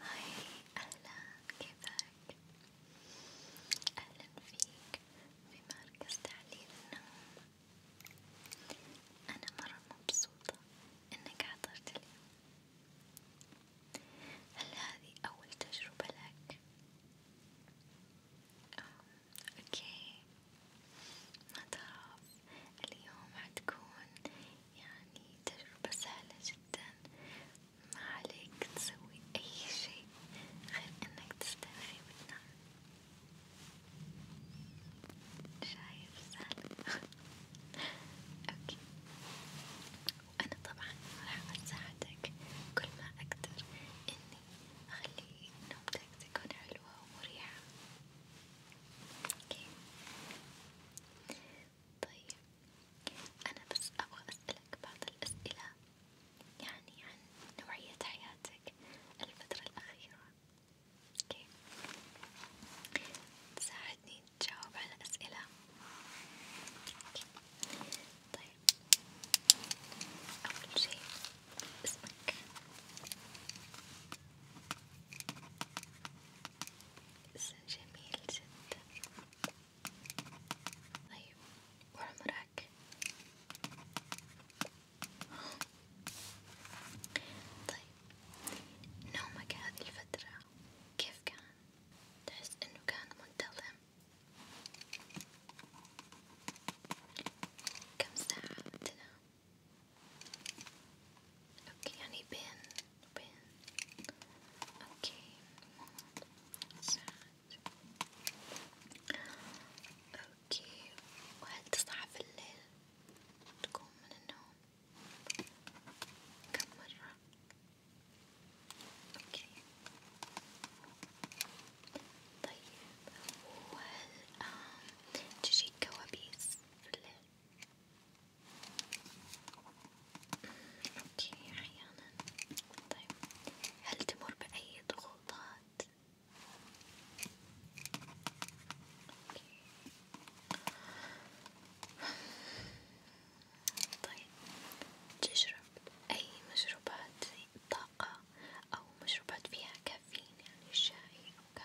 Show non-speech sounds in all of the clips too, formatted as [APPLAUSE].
هاي أهلا كيفك؟ أهلا فيك في مركز تعليم النوم أنا مرة مبسوطة إنك حضرت اليوم هل هذه أول تجربة لك؟ أوكي ما تخاف اليوم حتكون يعني تجربة سهلة جدا ما عليك تسوي أي شيء غير إنك تسترخي وتنام شايف سهل [LAUGHS] أوكي وأنا طبعا راح أساعدك كل ما أقدر إني أخلي نومتك تكون حلوة ومريحة اوكي طيب أنا بس أبغى أسألك بعض الأسئلة يعني عن نوعية حياتك الفترة الأخيرة، اوكي تساعدني تجاوب على أسئلة، أوكي طيب أول شي اسمك؟ جميل جدا طيب وعمرك طيب نومك هذه الفترة كيف كان؟ تحس انه كان منتظم؟ كم ساعة تنام؟ اوكي يعني بين بين اوكي ساعات اوكي وهل تصحى في الليل تقوم من النوم كم مرة اوكي طيب وهل تجيك كوابيس في الليل اوكي احيانا طيب هل تمر بأي ضغوطات؟ اوكي طيب تشرب أي مشروبات زي الطاقة أو مشروبات فيها كافيين يعني الشاي أو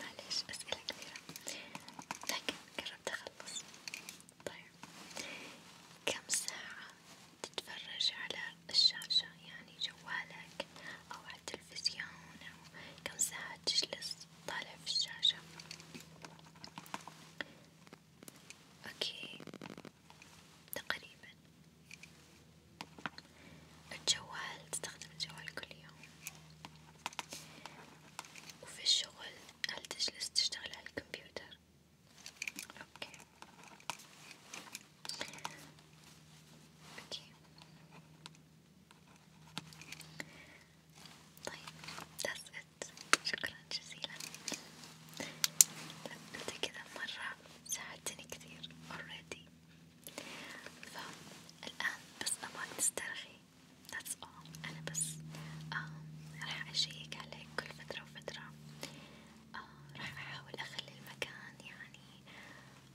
معليش أسئلة كثيرة لكن طيب، قربت أخلص طيب كم ساعة تتفرج على الشاشة يعني جوالك أو على التلفزيون أو كم ساعة تجلس طالع في الشاشة أوكي تقريبا الجوال تستخدم الجوال كل يوم وفي الشغل هل تجلس تشتغل على اوكي طيب that's it شكرا جزيلا انت كذا مرة ساعدتني كثير already فالآن بس أبغاك تسترخي okay that's all أنا بس um, راح أشيك عليك كل فترة وفترة uh, راح أحاول أخلي المكان يعني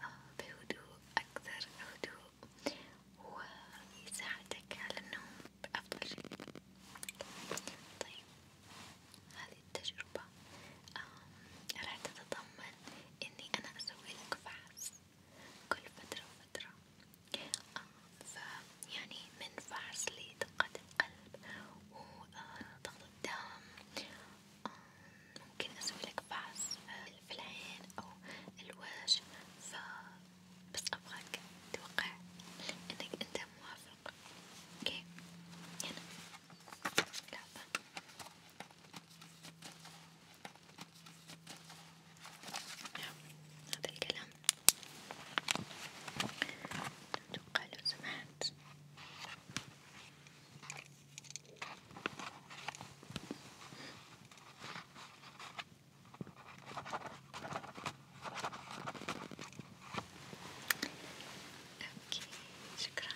uh, بهدوء أكثر هدوء ويساعدك على النوم بأفضل شيء طيب هذه التجربة راح تتضمن إني أنا أسوي لك فحص كل فترة وفترة آه، فيعني منفعز لدقة القلب وضغط آه، الدم آه، ممكن أسويلك فحص في العين أو الوجه ف بس أبغاك توقع إنك أنت موافق أوكي هنا لعبة هذا الكلام أتوقع لو سمحت أوكي شكرا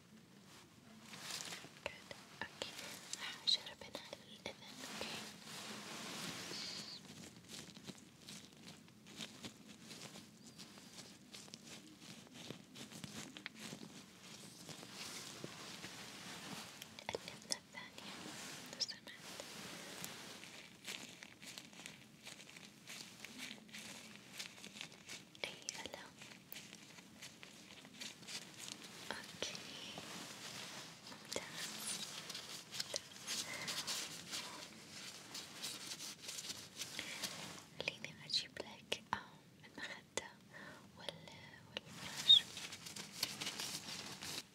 Good. اوكي راح اجرب هنا الاذن اوكي الإذن الثانية لو سمحت أي ألم اوكي ممتاز خليني اجيب لك المخدة والفراش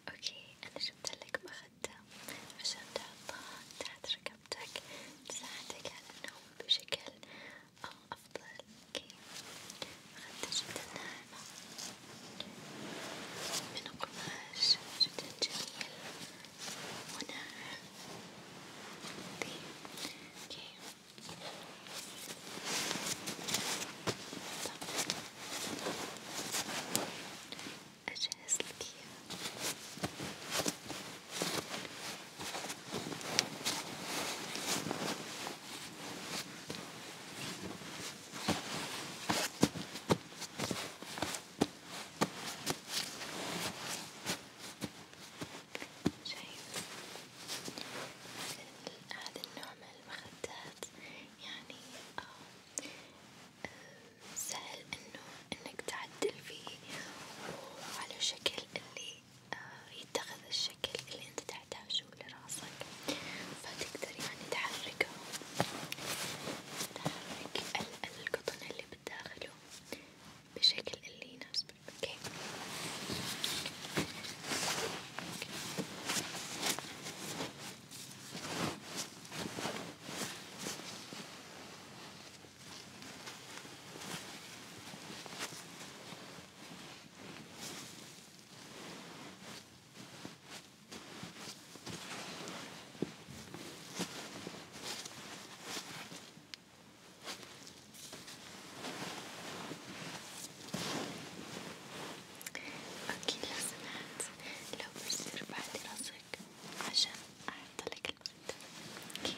اوكي انا جبت لك مخدة عشان تحطها تحت ركبتك تساعدك على النوم بشكل أفضل كريم أخذت جدا ناعمة من قماش جدا جميل وناعم كريم أجهز لك إياه شايف هذا النوع من المخدات يعني آه، سهل إنه إنك تعدل فيه وعلى شكل اللي آه، يتخذ الشكل اللي انت تحتاجه لراسك فتقدر يعني تحركه تحرك القطن اللي بالداخله بشكل اللي يناسبك اوكي اوكي أكيد لازم لو بصير بعد راسك عشان أحطلك المرتبة أوكي أوكي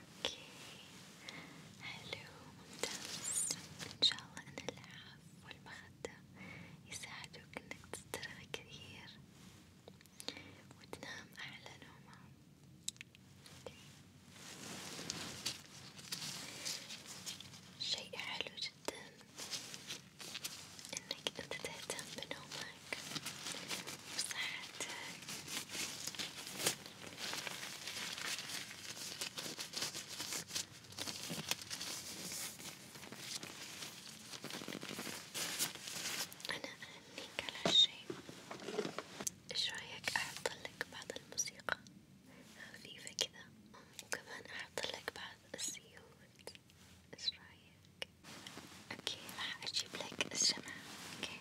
اوكي حلو ممتاز ان شاء الله ان اللعاب والمخدة يساعدوك انك تسترخي كثير وتنام احلى نومة شيء حلو جدا انك انت تهتم بنومك وصحتك أنا أهنيك على هالشي، إيش رأيك أحطلك بعض الموسيقى خفيفة كذا، وكمان أحطلك بعض السيوت، إيش رأيك؟ أوكي راح أجيب لك الشمعة، أوكي؟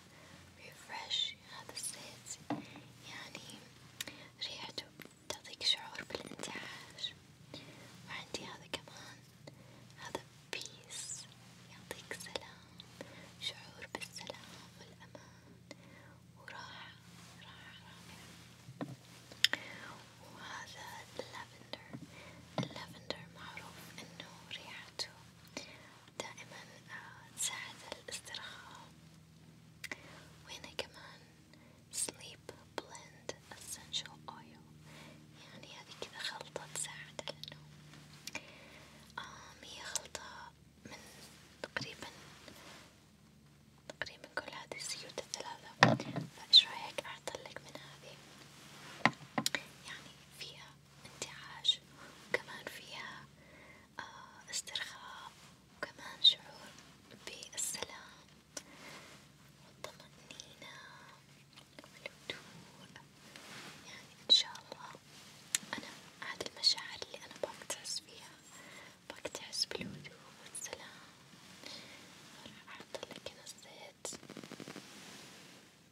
ريفرش هذا الزيت يعني ريحته تعطيك شعور بالانتعاش وعندي هذا كمان هذا بيس يعطيك سلام شعور بالسلام والأمان وراحة راحة رائعة وهذا اللافندر اللافندر معروف إنه ريحته دائما آه، تساعد الاسترخاء وهنا كمان sleep blend essential oil يعني هذه كذا خلطة تساعد على النوم هي خلطة من تقريبا تقريبا كل هذه الزيوت الثلاثة فايش رايك اعطلك من هذه يعني فيها انتعاش وكمان فيها آه، استرخاء وكمان شعور بالسلام والطمأنينة والهدوء يعني إن شاء الله أنا هذي المشاعر اللي أنا ابغاك تحس فيها ابغاك تحس بالهدوء والسلام راح أحطلك هنا الزيت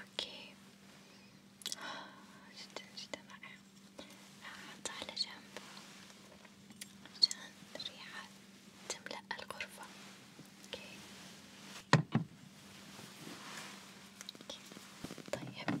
اوكي آه، جدا جدا رائع احطه على جنب عشان الريحة تملأ الغرفة اوكي طيب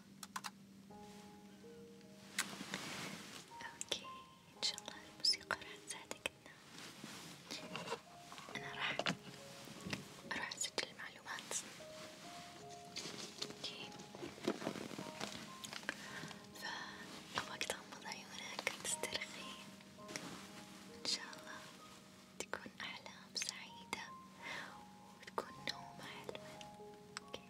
اوكي ان شاء الله الموسيقى راح تساعدك تنام انا راح اروح اسجل المعلومات اوكي فوقت تغمض عيونك تسترخي ان شاء الله تكون احلام سعيدة وتكون نومة حلوة اوكي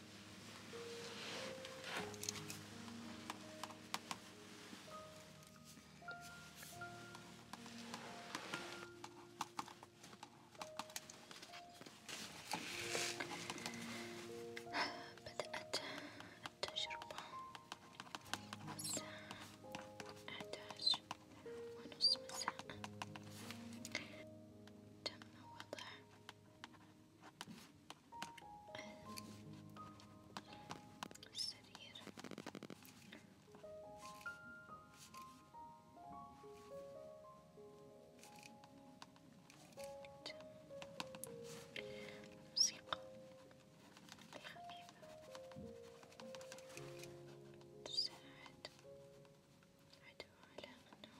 بدأت التجربة الساعة أحد عشر ونصف مساء، تم وضع السرير موسيقى خفيفة تساعد عدو على النوم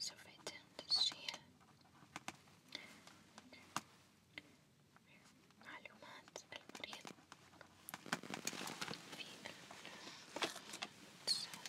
So if I tend to see it. معلومات المريض في السلة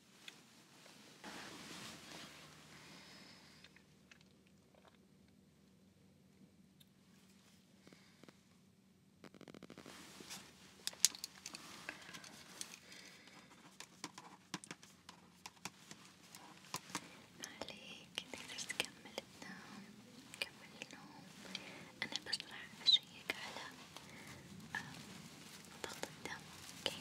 ما عليك تقدر تكمل تنام كمل النوم أنا بس راح أشيك على ضغط آه، الدم اوكي